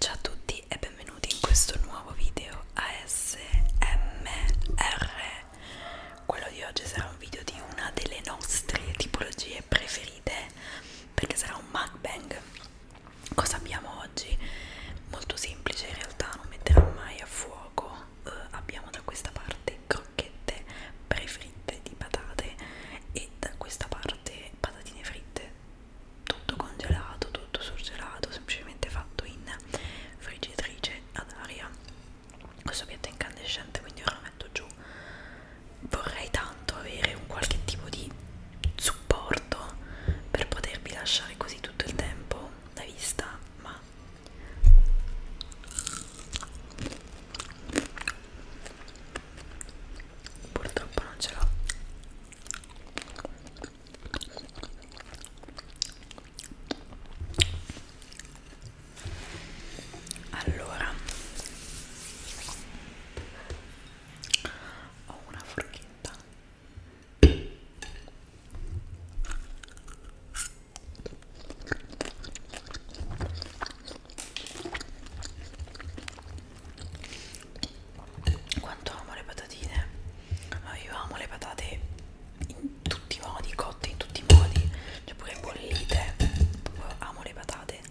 Ciao a tutti e benvenuti in questo nuovo video ASMR. Quello di oggi sarà un video di una delle nostre tipologie preferite perché sarà un mukbang. Cosa abbiamo oggi? Molto semplice in realtà, non metterò mai a fuoco. Uh, abbiamo da questa parte crocchette prefritte di patate e da questa parte patatine fritte tutto congelato, tutto surgelato, semplicemente fatto in friggitrice ad aria questo piatto è incandescente quindi ora lo metto giù vorrei tanto avere un qualche tipo di supporto per potervi lasciare così tutto il tempo la vista ma purtroppo non ce l'ho allora ho una forchetta quanto amo le patatine, ma io amo le patate in tutti i modi, cotte in tutti i modi, cioè pure bollite, Proprio amo le patate.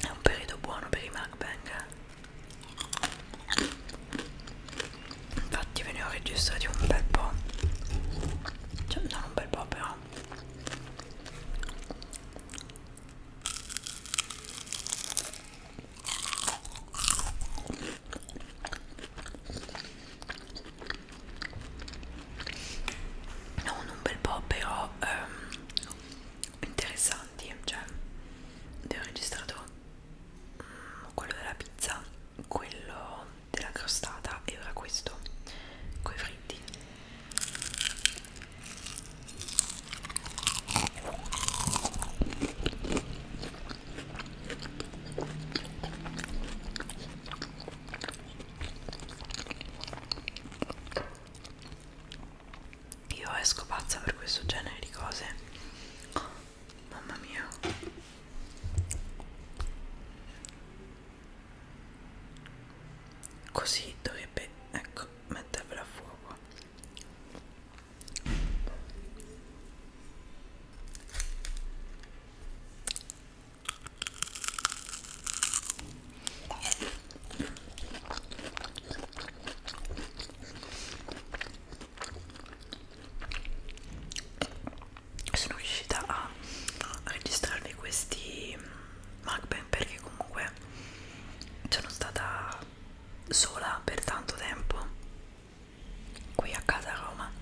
È un periodo buono per i mukbang infatti ve ne ho registrati un bel po' cioè non un bel po' però non un bel po' però ehm, interessanti cioè ne ho registrato quello della pizza, quello della crostata e ora questo coi fritti. Io esco pazza per questo genere di cose Mamma mia. Così dovrebbe, ecco, mettervela a fuoco sono riuscita a registrarvi questi mukbang perché comunque sono stata sola per tanto tempo qui a casa a Roma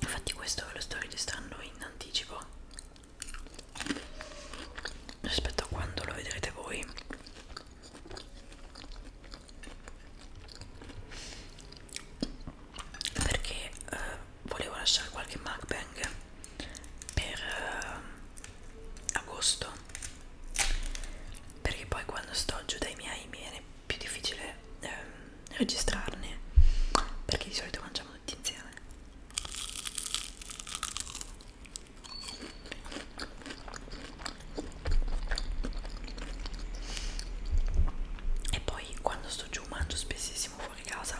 infatti questo lo sto registrando in anticipo rispetto a quando lo vedrete voi perché eh, volevo lasciare qualche mukbang per eh, agosto perché poi quando sto giù dai miei mi viene più difficile ehm, registrarne perché di solito mangiamo tutti insieme e poi quando sto giù mangio spessissimo fuori casa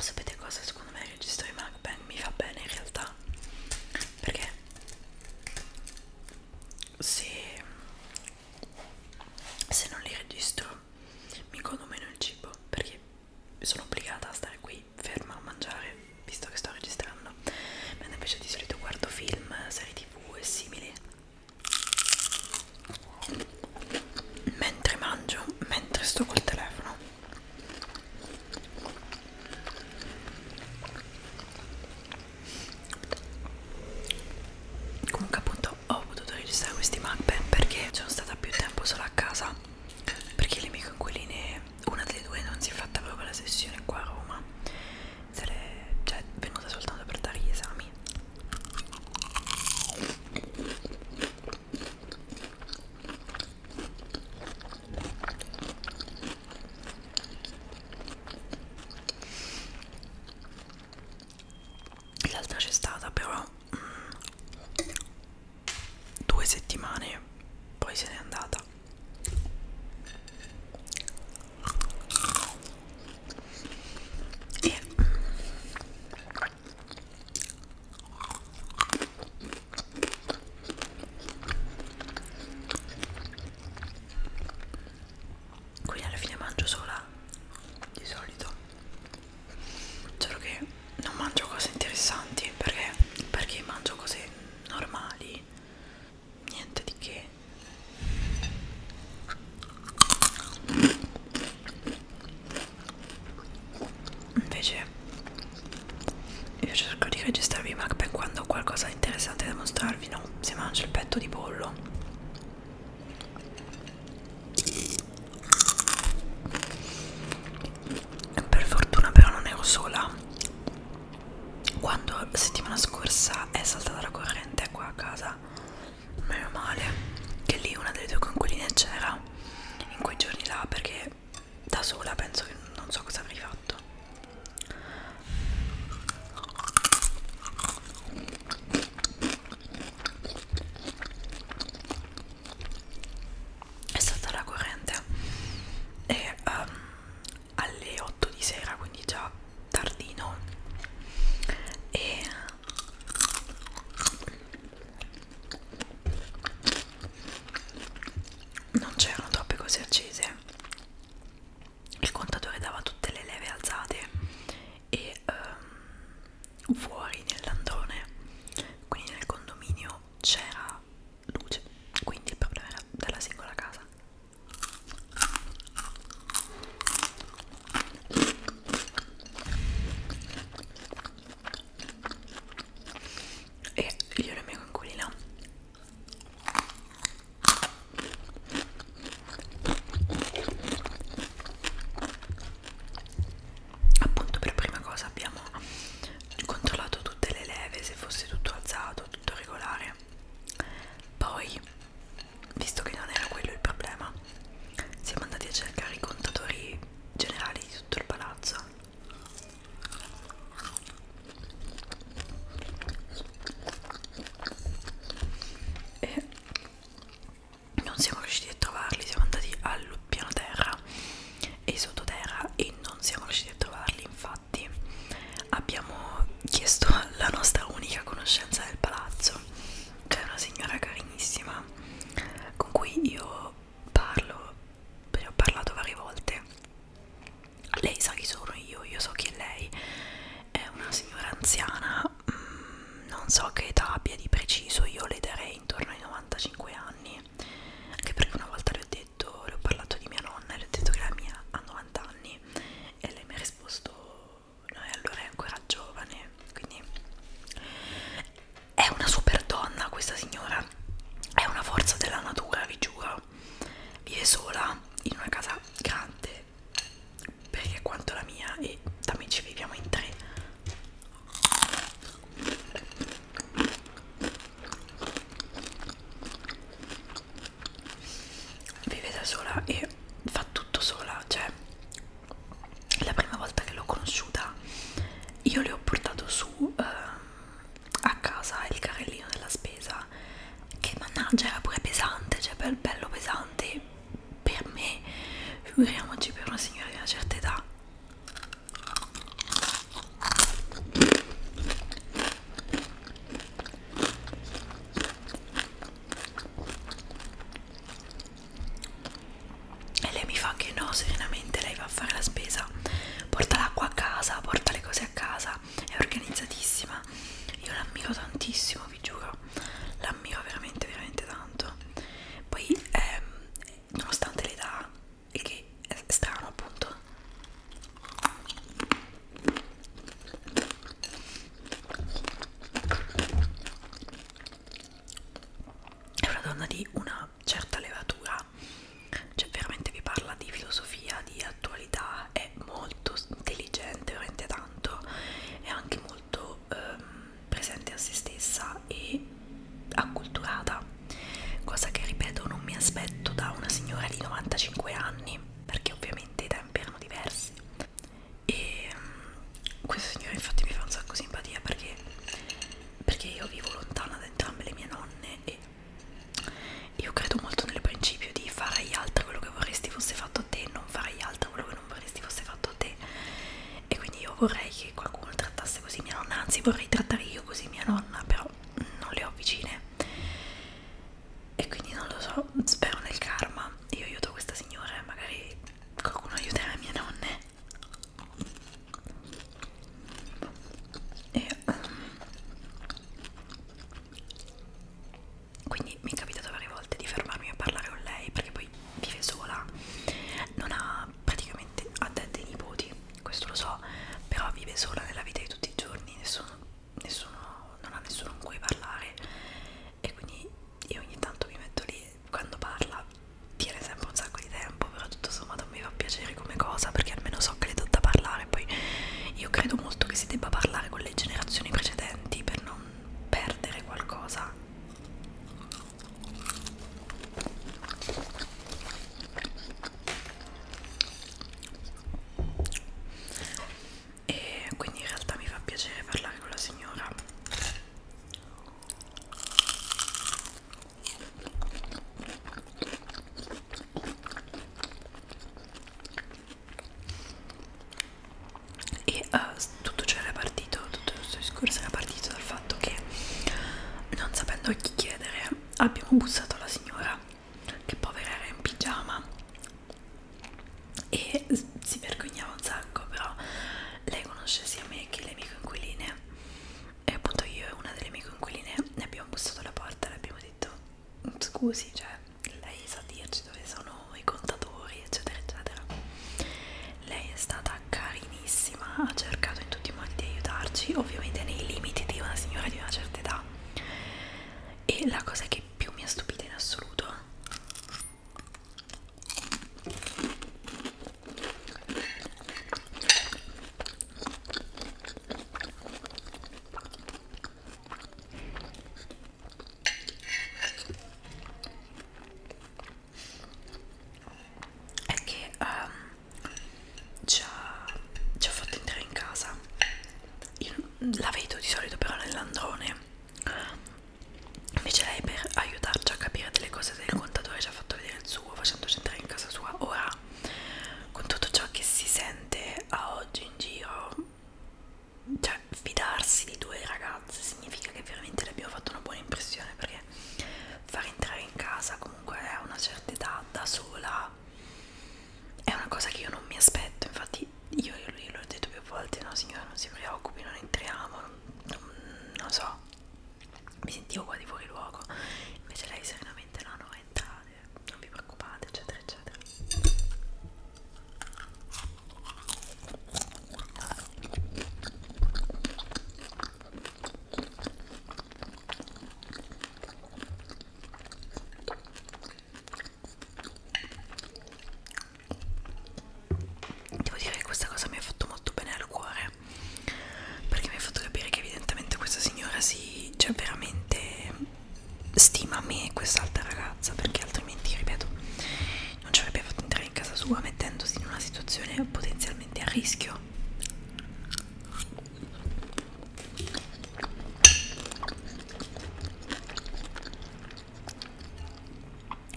Sapete cosa? Secondo me il registro di MacBang mi fa bene in realtà perché se, se non li registro mi godo meno il cibo perché sono obbligata a stare qui sarei ferma a mangiare visto che sto registrando mentre invece di solito guardo film, serie tv e simili mentre mangio, mentre sto col telefono comunque appunto ho potuto registrare questi mukbang perché sono stata più tempo sola a casa perché le mie coinquiline una delle due non si è fatta proprio la sessione qua a Roma se l'è cioè, venuta soltanto per dare gli esami l'altra c'è stata però mm, due settimane poi se n'è andata e quindi alla fine mangio sola di solito solo che non mangio cose interessanti perché perché mangio cose normali niente di che invece io cerco di registrarvi ma per quando ho qualcosa di interessante da mostrarvi no si mangia il petto di pollo per fortuna però non ero sola Quando settimana scorsa è saltata la corrente qua a casa Meno male che lì una delle due conquiline c'era In quei giorni là perché da sola penso che non so cosa avrei fatto è stata la corrente e um, alle 8 di sera quindi già tardino e non c'erano troppe cose accese il contatore dava tutte le leve alzate e um, fuori nell'androne quindi nel condominio c'era luce quindi il problema era della singola casa e io e la mia conculina appunto per prima cosa abbiamo controllato tutte le leve se fosse tutto alzato tutto regolare poi visto che non era quello il problema siamo andati a cercare i contatori generali di tutto il palazzo e non siamo riusciti a trovarli siamo andati al piano terra e sottoterra e non siamo riusciti a trovarli infatti abbiamo chiesto alla nostra unica conoscenza del palazzo c'è una signora carinissima con cui io parlo ne ho parlato varie volte lei sa chi sono io io so chi è lei è una signora anziana mm, non so che età abbia di preciso io le darei intorno ai 95 anni anche perché una volta le ho detto, le ho parlato di mia nonna e le ho detto che la mia ha 90 anni e lei mi ha risposto no e allora è ancora giovane quindi è una super donna questa signora è una forza della natura vi giuro vive sola in una casa grande perché quanto la mia e da me ci viviamo in tre vive da sola e fa tutto sola cioè la prima volta che l'ho conosciuta io le ho portato su eh, a casa il carrellino della spesa che mannaggia era pure pesante cioè bel, bello pesante per me figuriamoci per una signora di una certa età e lei mi fa che no serenamente lei va a fare la spesa porta l'acqua a casa porta le cose a casa è organizzatissima io l'ammiro tantissimo vi giuro l'ammiro veramente veramente tanto poi ehm, nonostante l'età e che è strano appunto è una donna di una certa levatura cioè veramente vi parla di filosofia di attualità è molto intelligente veramente tanto è anche molto ehm, presente a se stessa e acculturata, cosa che ripeto non mi aspetto da una signora di 95 anni, perché ovviamente i tempi erano diversi. E mm, questa signora infatti mi fa un sacco simpatia perché, perché io vivo lontana da entrambe le mie nonne e io credo molto nel principio di fare agli altri quello che vorresti fosse fatto a te, non fare agli altri quello che non vorresti fosse fatto a te e quindi io vorrei che qualcuno trattasse così mia nonna, anzi vorrei trattare io così mia nonna, però non le ho vicine e quindi non lo so, spero nel karma, io aiuto questa signora e magari qualcuno aiuterà mie nonne e ehm, quindi mi è capitato varie volte di fermarmi a parlare con lei perché poi vive sola non ha praticamente ha dei nipoti questo lo so però vive sola nella vita di tutti i giorni nessuno, nessuno non ha nessuno con cui parlare e quindi io ogni tanto mi metto lì quando parla tiene sempre un sacco di tempo però tutto sommato mi fa piacere come cosa perché almeno so che le do da parlare poi io credo molto che si debba parlare con le generazioni precedenti per non perdere qualcosa e quindi in realtà mi fa piacere parlare con la signora e uh, tutto ciò era partito partito tutto questo discorso era partito dal fatto che non sapendo a chi chiedere abbiamo bussato alla signora che povera era in pigiama e si vergognava un sacco però lei conosce sia me che le mie coinquiline e appunto io e una delle mie coinquiline ne abbiamo bussato alla porta e le abbiamo detto scusi cioè lei sa dirci dove sono i contatori eccetera eccetera lei è stata carinissima ha cercato in tutti i modi di aiutarci ovviamente nei limiti di una signora di una certa età e la cosa che più mi ha stupita in assoluto è che um, ci, ha, ci ha fatto entrare in casa. Io la vedo di solito però nell'androne. Invece lei per aiutarci a capire delle cose del contatore ci ha fatto vedere il suo facendoci entrare in casa sua. Ora, con tutto ciò che si sente a oggi in giro, cioè fidarsi di due ragazze significa che veramente le abbiamo fatto una buona impressione perché perché far entrare in casa comunque a una certa età da sola è una cosa che io non mi aspetto, infatti io gliel'ho detto più volte, no signora non si preoccupi, non entriamo, non, non, non so, mi sentivo qua di fuori luogo, invece lei serenamente no, no, entrate, non vi preoccupate, eccetera, eccetera. Devo dire che questa cosa mi ha fatto molto bene al cuore perché mi ha fatto capire che evidentemente questa signora si cioè veramente stima me e quest'altra ragazza perché altrimenti ripeto non ci avrebbe fatto entrare in casa sua mettendosi in una situazione potenzialmente a rischio.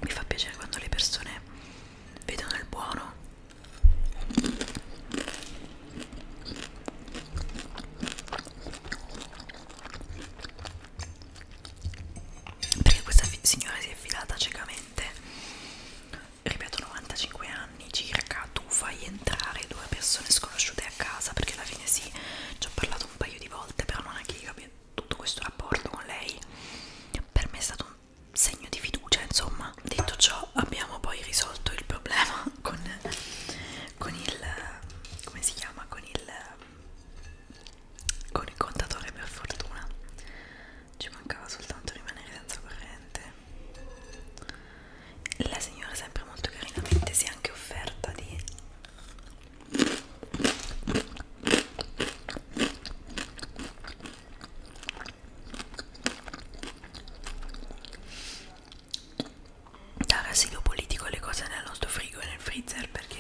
Mi fa piacere quando le persone vedono il buono perché questa signora si è affidata ciecamente ripeto 95 anni circa tu fai entrare due persone sconosciute a casa perché alla fine sì ci ho parlato un paio di volte però non è che io abbia tutto questo rapporto con lei per me è stato un segno di fiducia insomma detto ciò abbiamo poi risolto il problema con, con il come si chiama con il con il contatore per fortuna ci mancava soltanto rimanere senza corrente la signora sempre molto carinamente si è anche offerta di dare asilo politico alle cose nel nostro frigo e nel freezer perché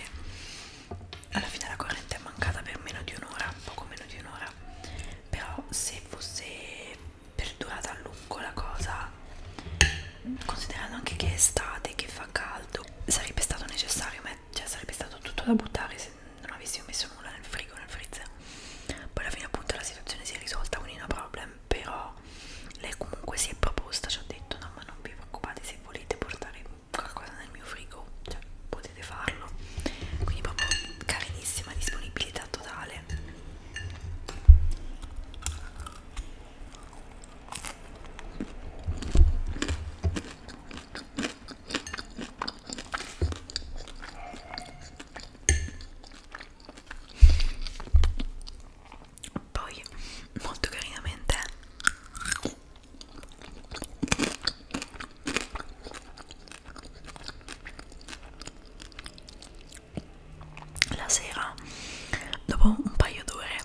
alla fine la corrente è mancata per meno di un'ora, poco meno di un'ora, però se fosse perdurata a lungo la cosa, considerando anche che è estate, che fa caldo, sarebbe stato necessario, cioè sarebbe stato tutto da buttare se non avessimo messo nulla nel frigo, nel freezer. Poi alla fine appunto la situazione si è risolta, quindi no problem, però lei comunque si è proposta, ci ha detto no ma non vi preoccupate se volete portare qualcosa nel mio frigo, cioè potete farlo. Quindi proprio carinissima disponibilità totale. Poi molto carinamente la sera, dopo un paio d'ore,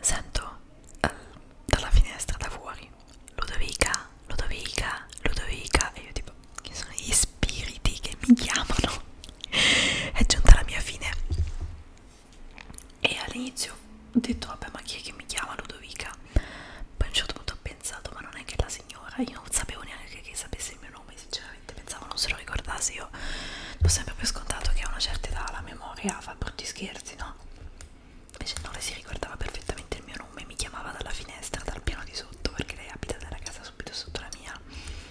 sento eh, dalla finestra da fuori Ludovica, Ludovica, Ludovica e io tipo che sono gli spiriti che mi chiamano. È giunta la mia fine e all'inizio ho detto vabbè ma chi è che mi chiama Ludovica poi a un certo punto ho pensato ma non è che la signora io non sapevo neanche che sapesse il mio nome sinceramente pensavo non se lo ricordasse io ho sempre per scontato che a una certa età la memoria fa brutti scherzi no invece no lei si ricordava perfettamente il mio nome mi chiamava dalla finestra dal piano di sotto perché lei abita nella casa subito sotto la mia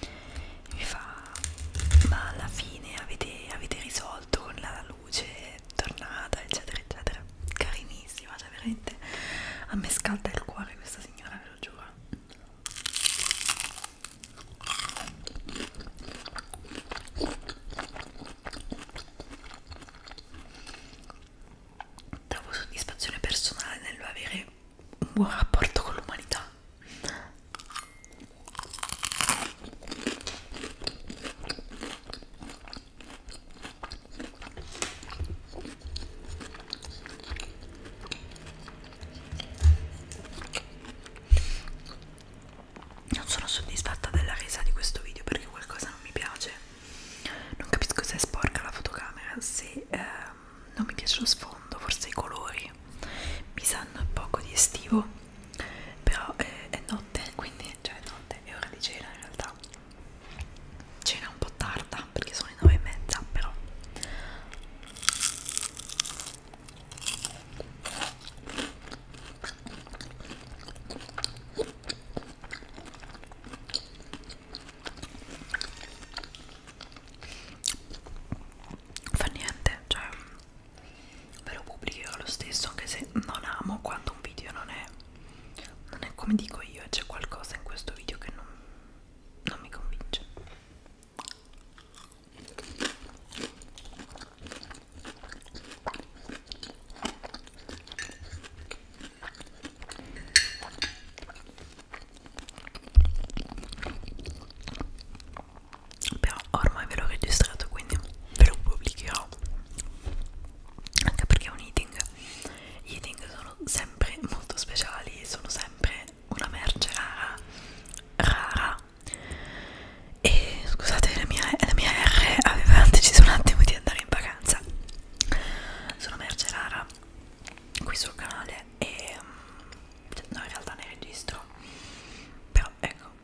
e mi fa ma alla fine avete, avete risolto con la luce è tornata eccetera eccetera carinissima cioè veramente a me scalda il cuore questa signora ve lo giuro trovo soddisfazione personale nell'avere un buon rapporto con l'umanità non sono soddisfatta della resa di questo video perché qualcosa non mi piace. Non capisco se è sporca la fotocamera, se eh, non mi piace lo sfondo, forse i colori mi sanno poco di estivo però eh, è notte quindi cioè è notte è ora di cena in realtà cena un po' tarda perché sono le nove e mezza però fa niente cioè ve lo pubblicherò lo stesso anche se non amo quando un video non è non è come dico io c'è qualcosa in questo video che non, non mi convince però ormai ve l'ho registrato quindi ve lo pubblicherò anche perché è un eating gli eating sono sempre molto speciali sono sempre una merce rara rara e scusate la mia, la mia R aveva deciso un attimo di andare in vacanza sono merce rara qui sul canale e mm, cioè, no in realtà ne registro però ecco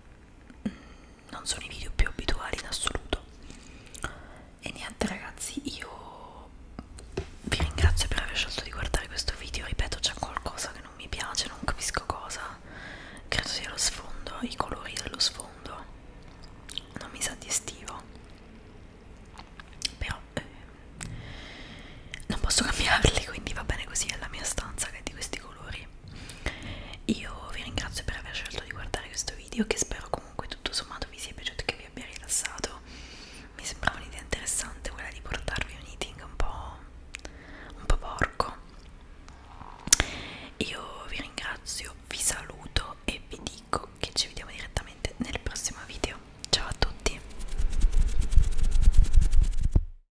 non sono i video più abituali in assoluto e niente ragazzi io vi ringrazio per aver scelto di guardare questo video ripeto c'è qualcosa che non mi piace non capisco cosa credo sia lo sfondo i colori dello sfondo non mi sa di estivo però eh, non posso cambiarli quindi va bene così è la mia stanza che è di questi colori voi io vi ringrazio per aver scelto di guardare questo video che spero comunque tutto sommato vi sia piaciuto e che vi abbia rilassato mi sembrava un'idea interessante quella di portarvi un eating un po' un po' porco io vi ringrazio vi saluto e vi dico che ci vediamo direttamente nel prossimo video ciao a tutti